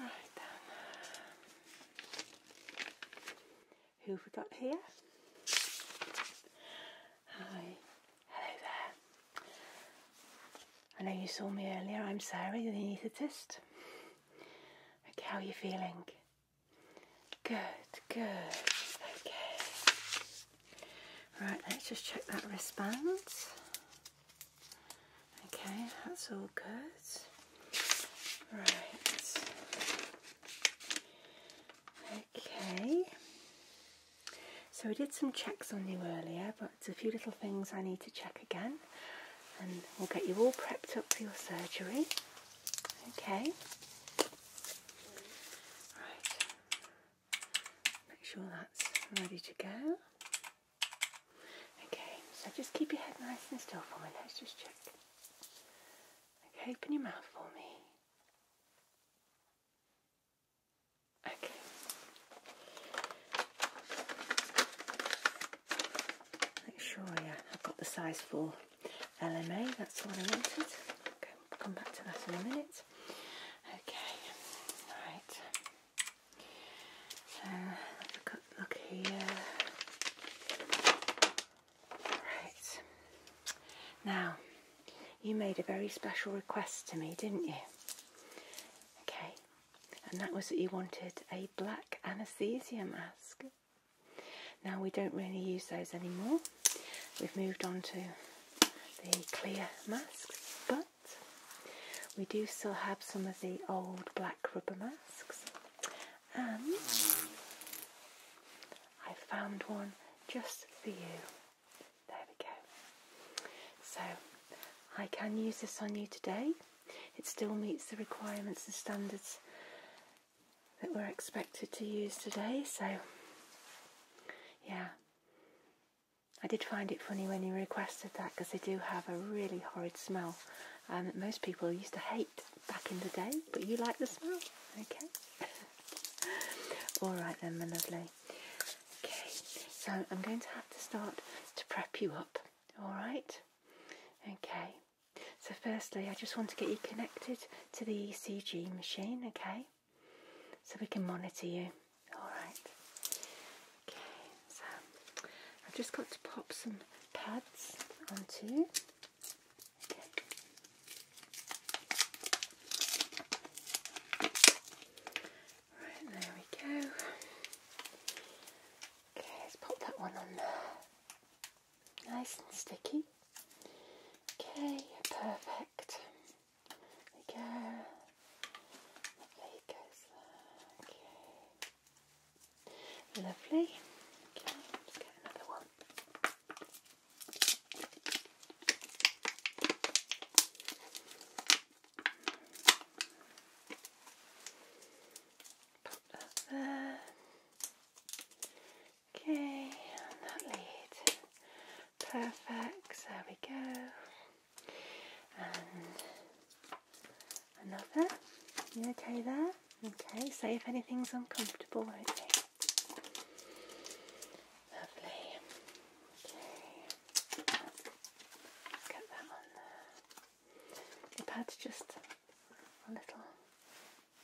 Right then. Who have we got here? Hi. Hello there. I know you saw me earlier. I'm sorry. You Sarah, the anaesthetist. Okay, how are you feeling? Good, good. Okay. Right, let's just check that wristband. Okay, that's all good. Right. Okay. So we did some checks on you earlier, but a few little things I need to check again. And we'll get you all prepped up for your surgery. Okay. Right. Make sure that's ready to go. Okay, so just keep your head nice and still for me. Let's just check. Okay, open your mouth for me. Okay. Make sure I've got the size for LMA, that's what I wanted come back to that in a minute. Okay, right. So look here. Right. Now, you made a very special request to me, didn't you? Okay, and that was that you wanted a black anesthesia mask. Now we don't really use those anymore. We've moved on to the clear masks, but we do still have some of the old black rubber masks. And I found one just for you. There we go. So I can use this on you today. It still meets the requirements and standards that we're expected to use today. So, yeah. I did find it funny when you requested that because they do have a really horrid smell um, and most people used to hate back in the day, but you like the smell, okay? All right then, my lovely. Okay, so I'm going to have to start to prep you up, all right? Okay, so firstly, I just want to get you connected to the ECG machine, okay? So we can monitor you. Alright. Okay, so I've just got to pop some pads onto Right, there we go. Okay, let's pop that one on there. Nice and sticky. Okay, perfect. There we go. Lovely goes Lovely. Okay, let get another one. Put that there. Okay, that lead. Perfect, there we go. And another. You okay there? Okay, say if anything's uncomfortable, won't Lovely. Okay. Let's get that on there. The pad's just little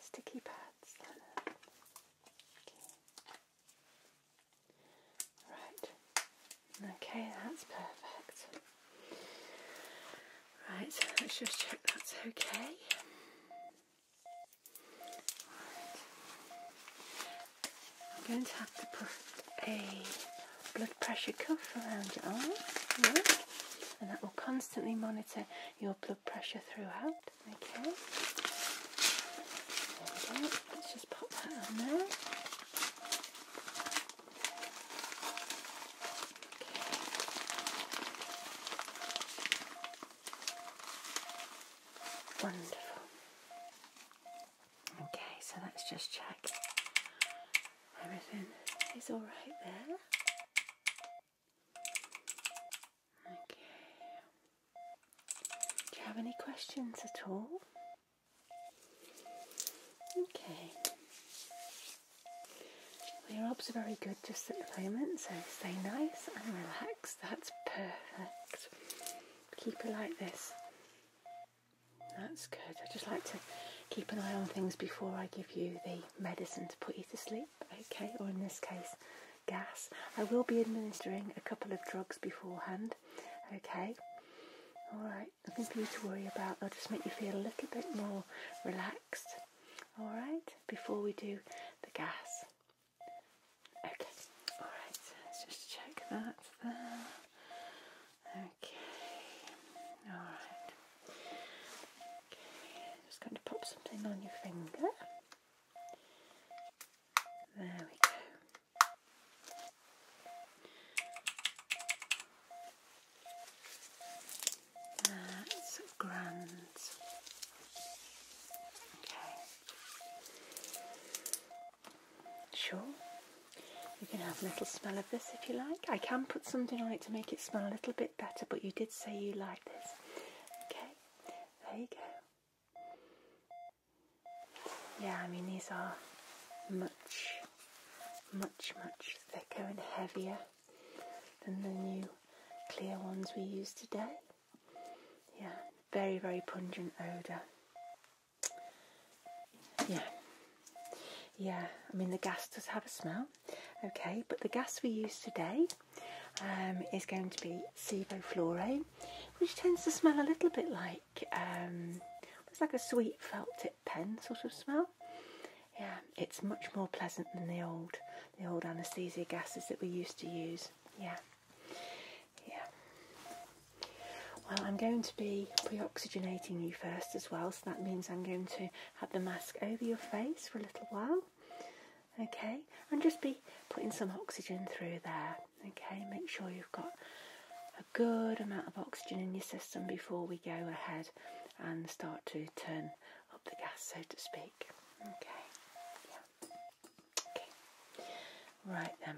sticky pads. Okay. Right, okay, that's perfect. Right, let's just check that's okay. I'm going to have to put a blood pressure cuff around your arm, and that will constantly monitor your blood pressure throughout. Okay. Let's just pop that on there. Wonderful. Okay, so let's just check everything is all right there. Do you have any questions at all? Okay. Well, your obs are very good just at the moment, so stay nice and relaxed. That's perfect. Keep it like this. That's good. I just like to keep an eye on things before I give you the medicine to put you to sleep, okay? Or in this case, gas. I will be administering a couple of drugs beforehand. Okay. Alright, nothing for you to worry about. They'll just make you feel a little bit more relaxed. Alright, before we do the gas. Okay, alright, let's just check that there. Okay, alright. Okay, just going to pop something on your finger. There we go. That's grand. Okay. Sure. You can have a little smell of this if you like. I can put something on it to make it smell a little bit better, but you did say you like this. Okay, there you go. Yeah, I mean, these are much, much, much thicker and heavier than the new clear ones we use today. Yeah, very, very pungent odour. Yeah. Yeah, I mean, the gas does have a smell, okay, but the gas we use today um, is going to be Sevoflore, which tends to smell a little bit like um, it's like a sweet felt tip pen sort of smell. Yeah, it's much more pleasant than the old the old anaesthesia gases that we used to use. Yeah, yeah. Well, I'm going to be pre-oxygenating you first as well, so that means I'm going to have the mask over your face for a little while okay and just be putting some oxygen through there okay make sure you've got a good amount of oxygen in your system before we go ahead and start to turn up the gas so to speak okay right then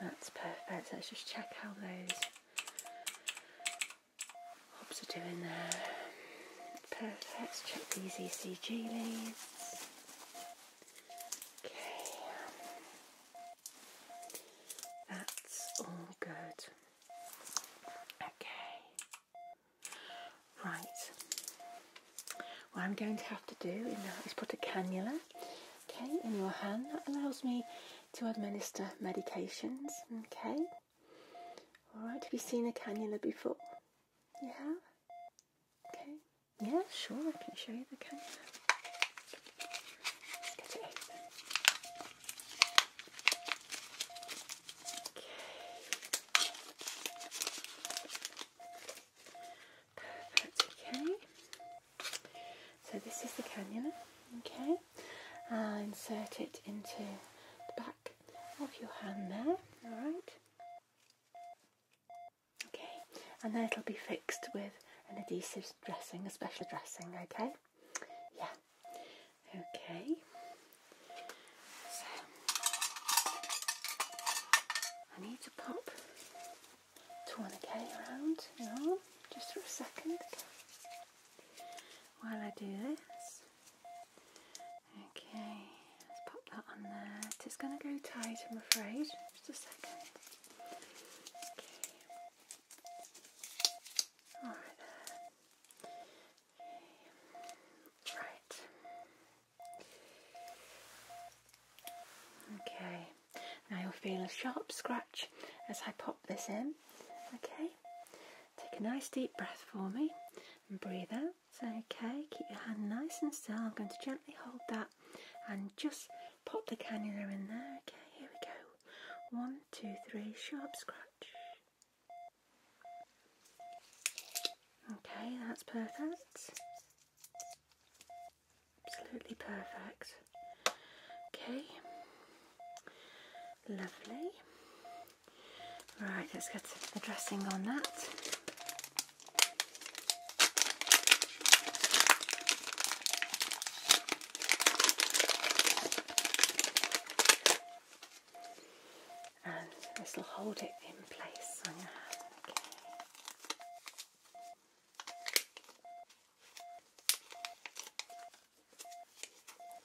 that's perfect let's just check how those hobs are doing there perfect check these ecg leads Okay, that's all good. Okay, right. What I'm going to have to do is put a cannula, okay, in your hand. That allows me to administer medications, okay. All right. Have you seen a cannula before? Yeah. Okay. Yeah, sure, I can show you the camera. Okay. Perfect, okay. So this is the cannula, okay. i uh, insert it into the back of your hand there, alright. Okay, and then it'll be fixed with an adhesive dressing, a special dressing, okay? Yeah. Okay. So I need to pop tourniquet around just for a second. While I do this, Okay, let's pop that on there. It's going to go tight, I'm afraid. Just a second. Okay. there. Right. Okay. Now you'll feel a sharp scratch as I pop this in. Okay. Take a nice deep breath for me and breathe out. It's okay, keep your hand nice and still. I'm going to gently hold that and just pop the cannula in there. Okay, here we go. One, two, three, sharp scratch. Okay, that's perfect. Absolutely perfect. Okay, lovely. Right, let's get the dressing on that. And this will hold it in place Okay.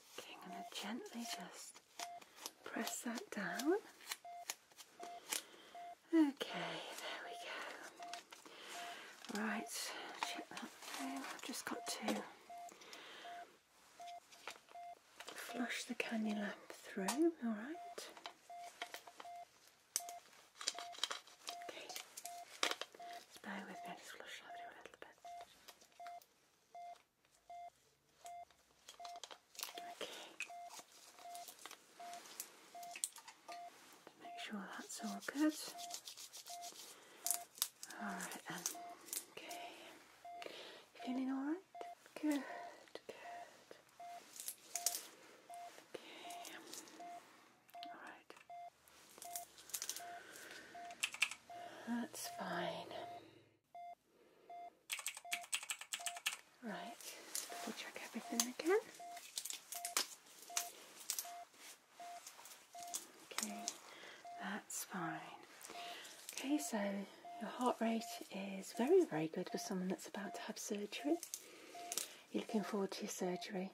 Okay, I'm going to gently just press that down Okay, there we go. Right, check that through. I've just got to flush the cannula through, alright. Okay, just with me, I'll flush that through a little bit. Make sure that's all good. Alright Okay. Feeling alright? Good, good. Okay. Alright. That's fine. Right, double check everything again. Okay, that's fine. Okay, so your heart rate is very, very good for someone that's about to have surgery. You're looking forward to your surgery.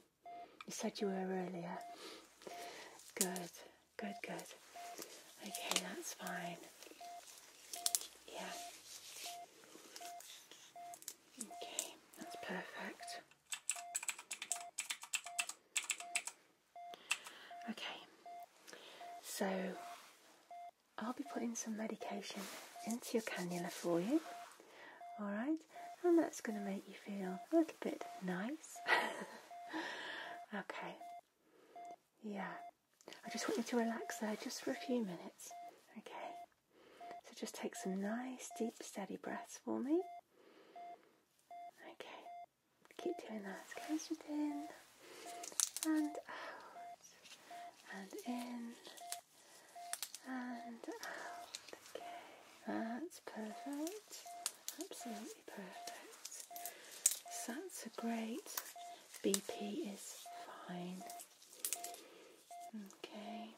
You said you were earlier. Good, good, good. Okay, that's fine. Yeah. Okay, that's perfect. Okay, so I'll be putting some medication into your cannula for you, alright, and that's going to make you feel a little bit nice. okay, yeah, I just want you to relax there just for a few minutes. Okay. So just take some nice, deep, steady breaths for me. Okay. Keep doing that. Let's go straight in and out and in and out. Okay. That's perfect. Absolutely perfect. So that's a great BP is fine. Okay,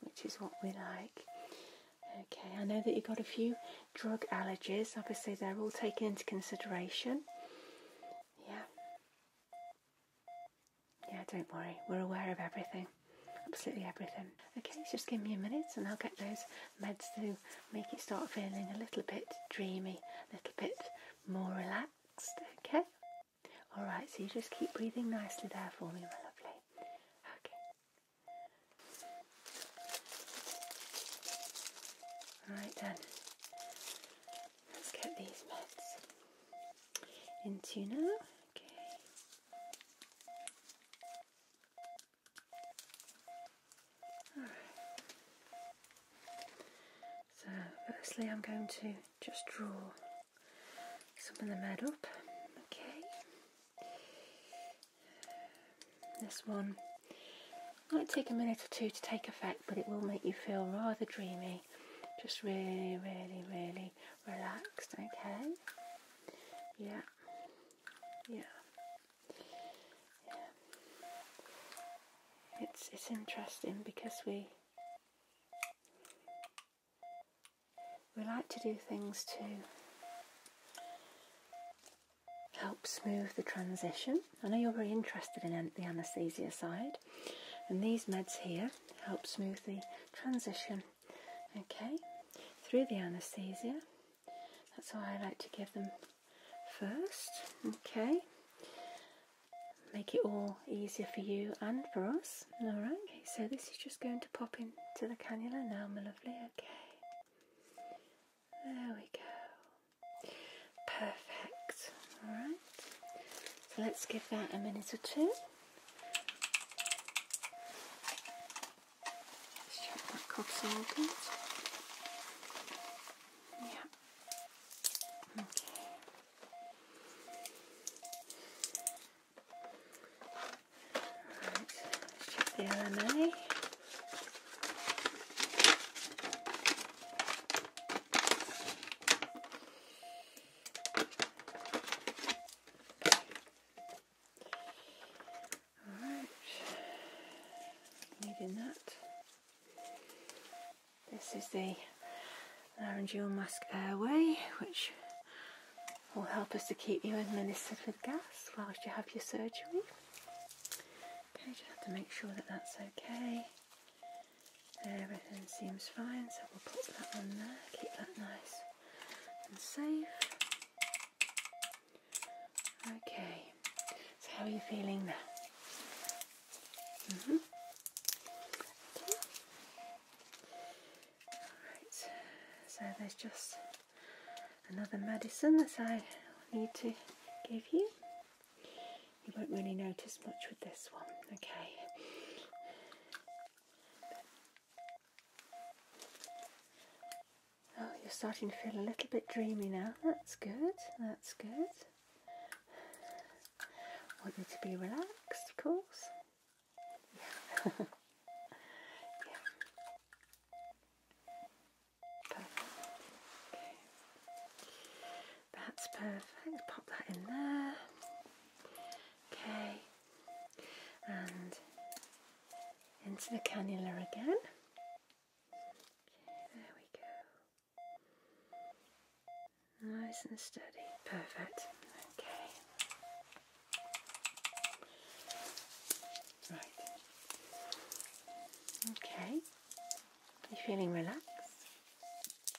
which is what we like. Okay, I know that you've got a few drug allergies. Obviously, they're all taken into consideration. Yeah. Yeah, don't worry. We're aware of everything. Absolutely everything. Okay, just give me a minute and I'll get those meds to make it start feeling a little bit dreamy, a little bit more relaxed. Okay? All right, so you just keep breathing nicely there for me, my lovely. Okay. All right then. Let's get these meds into now. Okay. All right. So firstly, I'm going to just draw some of the med up. Okay. This one might take a minute or two to take effect, but it will make you feel rather dreamy. Just really, really, really relaxed, okay? Yeah. Yeah. It's it's interesting because we we like to do things to help smooth the transition. I know you're very interested in the anaesthesia side, and these meds here help smooth the transition. Okay, through the anaesthesia. That's why I like to give them first. Okay, make it all easier for you and for us. Alright, okay, so this is just going to pop into the cannula now, my lovely, okay. There we go. Perfect. Alright. So let's give that a minute or two. Let's check that cough's all Yeah. Okay. Right, let's check the LMA. Alright, needing that. This is the laryngeal mask airway, which will help us to keep you in administered with gas whilst you have your surgery. Okay, just have to make sure that that's okay. Everything seems fine, so we'll put that on there, keep that nice and safe. Okay, so how are you feeling now? Mm-hmm. so there's just another medicine that I need to give you. You won't really notice much with this one, okay? Oh, you're starting to feel a little bit dreamy now. That's good, that's good. Want you to be relaxed, of course. Yeah. yeah. Perfect. Okay. That's perfect. Pop that in there. Okay. And into the cannula again. Okay, there we go. Nice and steady. Perfect. Okay. Right. Okay. You're feeling relaxed?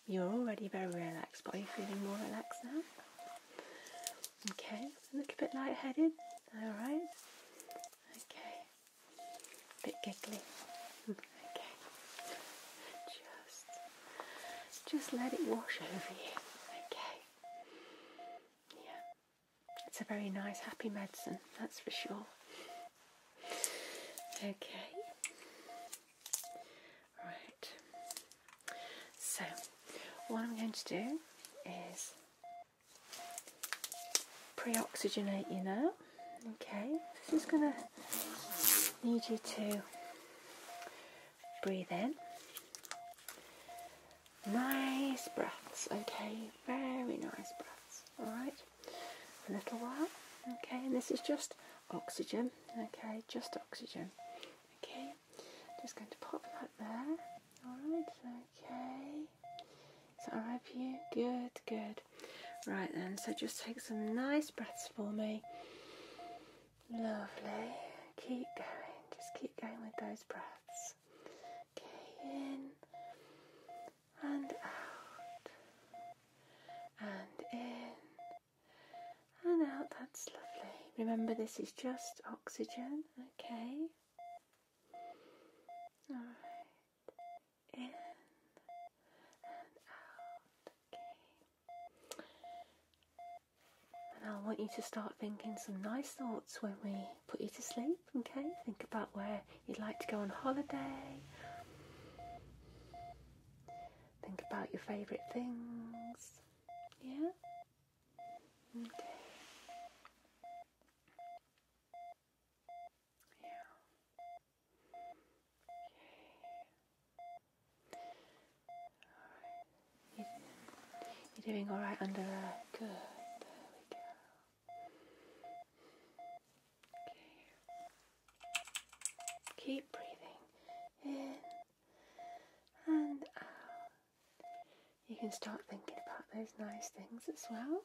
You're already very relaxed, but are you feeling more relaxed now? Okay. Look A little bit lightheaded. Alright. Okay. A bit giggly. Okay. Just just let it wash over you. Okay. Yeah. It's a very nice happy medicine, that's for sure. Okay. Right. So what I'm going to do is pre-oxygenate you now Okay, this is going to need you to breathe in. Nice breaths, okay, very nice breaths, alright. A little while, okay, and this is just oxygen, okay, just oxygen, okay. Just going to pop that there, alright, okay. So I alright for you? Good, good, Right then, so just take some nice breaths for me. Lovely. Keep going. Just keep going with those breaths. Okay, in and out. And in and out. That's lovely. Remember, this is just oxygen. Okay. Alright in and out. Okay. And I want you to start thinking some nice thoughts when we put you to sleep, okay? Think about where you'd like to go on holiday. Think about your favourite things. Yeah? Okay. Yeah. You're doing alright under uh, good. There we go. Okay. Keep breathing in and out. You can start thinking about those nice things as well.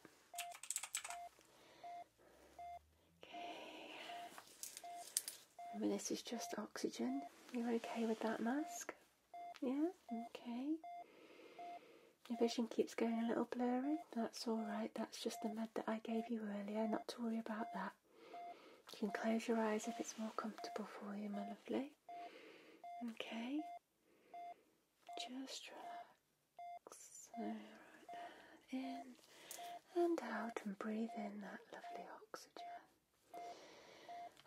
Okay. this is just oxygen. You're okay with that mask? Yeah? Okay. Your vision keeps going a little blurry. That's alright. That's just the med that I gave you earlier. Not to worry about that. You can close your eyes if it's more comfortable for you, my lovely. Okay. Just relax. In and out and breathe in that lovely oxygen.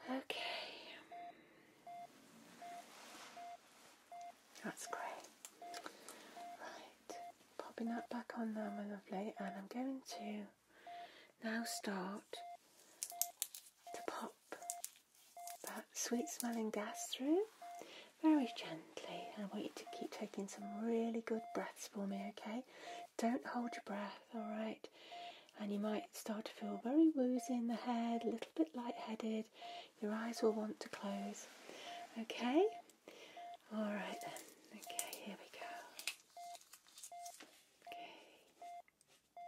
Okay. That's great. Right. Popping that back on now, my lovely, and I'm going to now start to pop that sweet smelling gas through very gently. I want you to keep taking some really good breaths for me, okay? Don't hold your breath, alright? And you might start to feel very woozy in the head, a little bit lightheaded. Your eyes will want to close, okay? Alright then. Okay, here we go. Okay.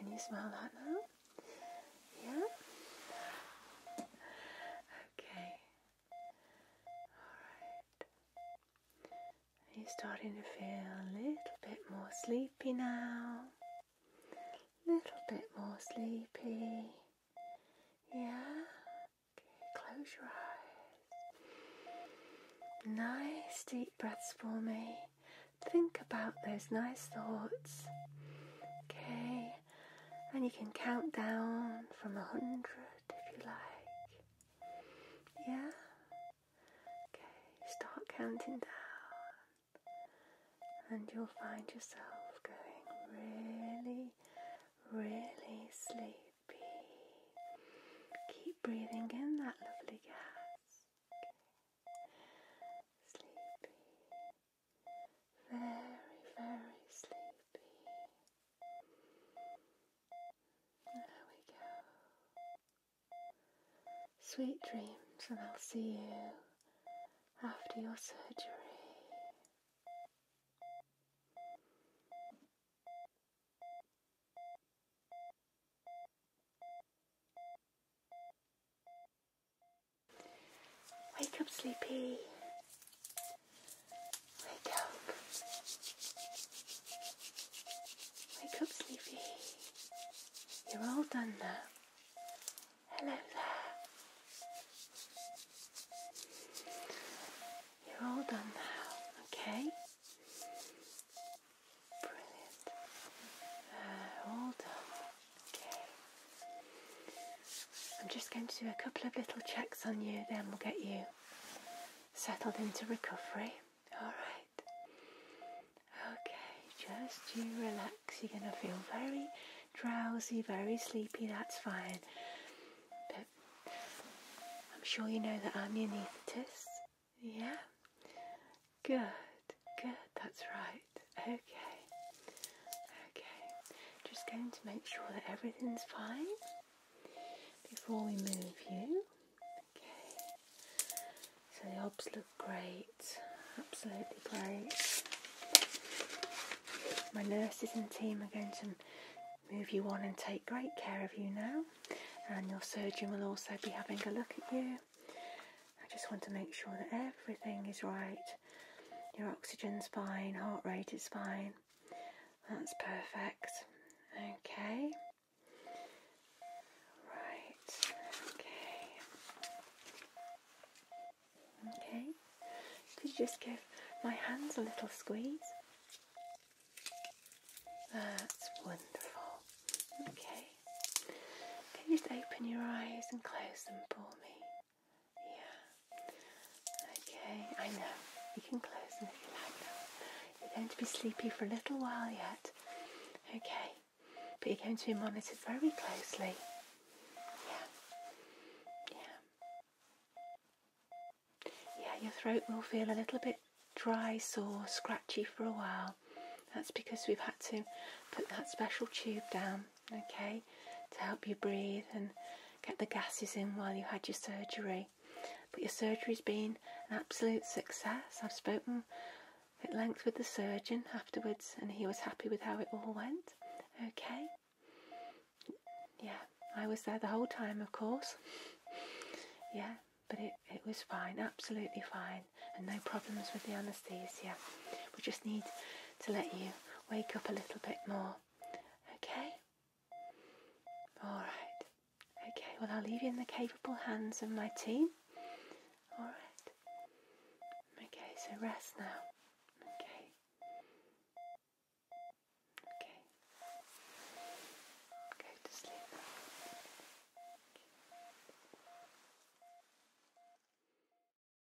Can you smell that now? Yeah? Okay. Alright. Are starting to feel a little bit more sleepy now? A Little bit more sleepy. Yeah? Okay, close your eyes. Nice deep breaths for me. Think about those nice thoughts. Okay, and you can count down from a hundred if you like. Yeah? Okay, start counting down, and you'll find yourself going really, really sleepy. Keep breathing in that lovely gas. Sleepy, very, very sleepy. There we go. Sweet dreams, and I'll see you after your surgery. Wake up, sleepy. Wake up. Wake up, sleepy. You're all done now. Hello there. You're all done now, okay? Brilliant. Uh, all done. I'm just going to do a couple of little checks on you, then we'll get you settled into recovery. Alright. Okay, just you relax. You're going to feel very drowsy, very sleepy, that's fine. But I'm sure you know that I'm your anaesthetist. Yeah? Good, good, that's right okay, okay. Just going to make sure that everything's fine before we move you. Okay, so the ops look great, absolutely great. My nurses and team are going to move you on and take great care of you now, and your surgeon will also be having a look at you. I just want to make sure that everything is right your oxygen's fine, heart rate is fine. That's perfect. Okay. Right. Okay. Okay. Could you just give my hands a little squeeze? That's wonderful. Okay. Can you just open your eyes and close them for me? Yeah. Okay, I know. You can close them if you like now. You're going to be sleepy for a little while yet. Okay. But you're going to be monitored very closely. Yeah. Yeah. Yeah, your throat will feel a little bit dry, sore, scratchy for a while. That's because we've had to put that special tube down okay, to help you breathe and get the gases in while you had your surgery. But your surgery's been an absolute success. I've spoken at length with the surgeon afterwards and he was happy with how it all went, okay? Yeah, I was there the whole time, of course. Yeah, but it, it was fine, absolutely fine, and no problems with the anaesthesia. We just need to let you wake up a little bit more. Okay? Alright. Okay, well, I'll leave you in the capable hands of my team. Alright. Okay, so rest now. Okay. Okay. Go to sleep.